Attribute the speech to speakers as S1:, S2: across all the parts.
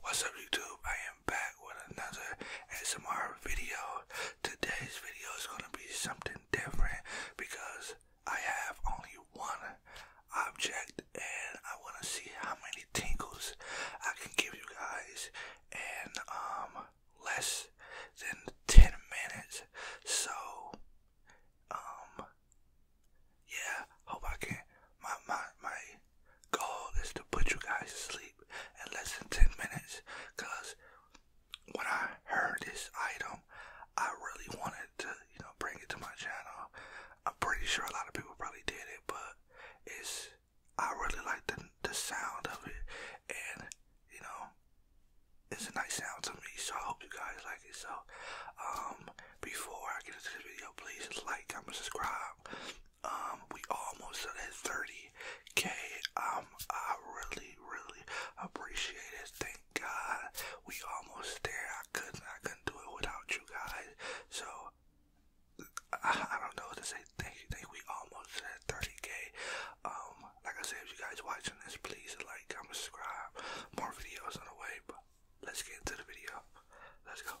S1: What's up YouTube? I am back with another S M R video. Today's video is going to be something different because I have only one object and I want to see how many tingles I can give you guys in um less than 10 minutes. So um yeah, hope I can my my my goal is to put you guys asleep in less than 10 minutes cuz when I heard this item, I really wanted to, you know, bring it to my channel. I'm pretty sure a lot of people probably did it, but it's I really like the the sound of it, and you know, it's a nice sound to me. So I hope you guys like
S2: it. So, um, before I get into this video, please like, comment, subscribe.
S1: Um, we almost to 30k. Um, I really, really appreciate it. Thank God, we almost there. I couldn't, I couldn't do it without you guys. So I don't know what to say. Thank you, thank we almost at 30k. Um, like I said, if you guys watching this, please like, comment, subscribe. More videos on the way, but let's get into the video. Let's go.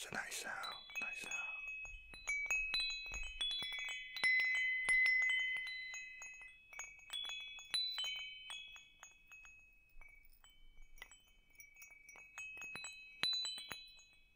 S1: It's a nice sound, nice sound.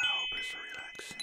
S1: I hope it's relaxing.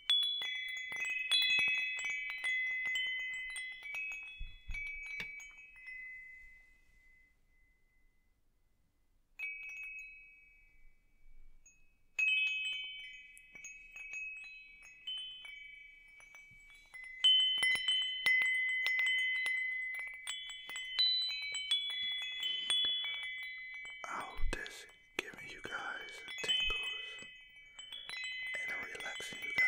S1: How does giving you guys tingles and relaxing you guys.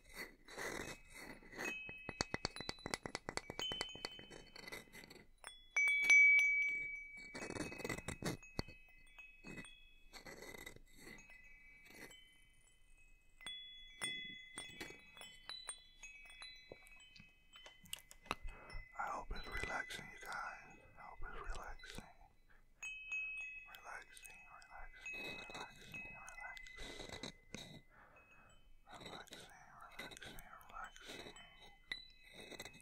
S1: I hope it's relaxing, you guys. I hope it's relaxing. Relaxing, relaxing, relaxing, relaxing relaxing, relaxing, relaxing, relaxing, relaxing.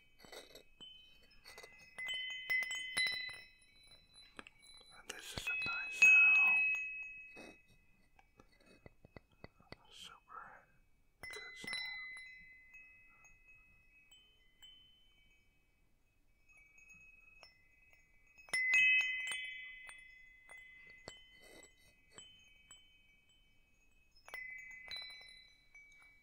S1: And this is a nice sound. Super good sound. Now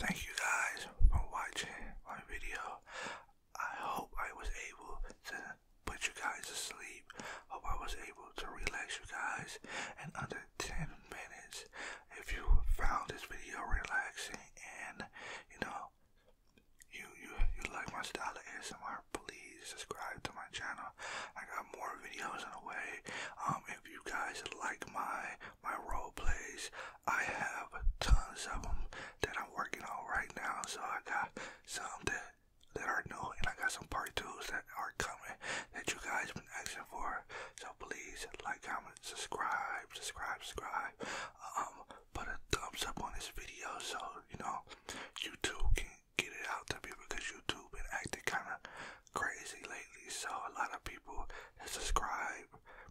S1: Thank you guys for watching my video. I hope I was able to put you guys to sleep. Hope I was able to relax you guys in under 10 minutes. If you found this video relaxing and you know you you, you like my style of ASMR please subscribe to my channel. I got more videos on the way. Um, if you guys like my my role plays, I have tons of them that I'm working on right now. So I got some that that are new, and I got some part twos that are coming that you guys been asking for. So please like, comment, subscribe, subscribe, subscribe. Um, put a thumbs up on this video so you know YouTube can get it out to people because YouTube been acting kind of crazy lately. So a lot of people that subscribe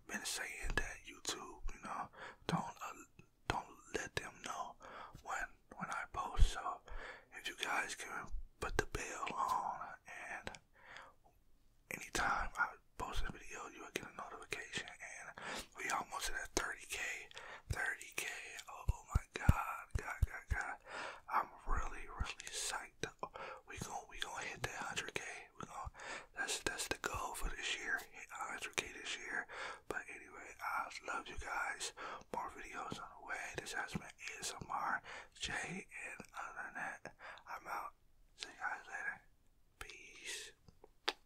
S1: been saying that YouTube, you know, don't uh, don't let them know when when I post. So if you guys can put the bell on and anytime I post a video, you will get a notification and we almost hit at 30k, 30k. Oh my god, god, god, god. I'm really, really psyched. We gon' we going hit that 100k. We going that's that's the goal for this year. Hit 100k this year. But anyway, I love you guys. More videos on the way. This has been ASMR
S2: J and Internet. I'm out. See you guys later. Peace. Peace.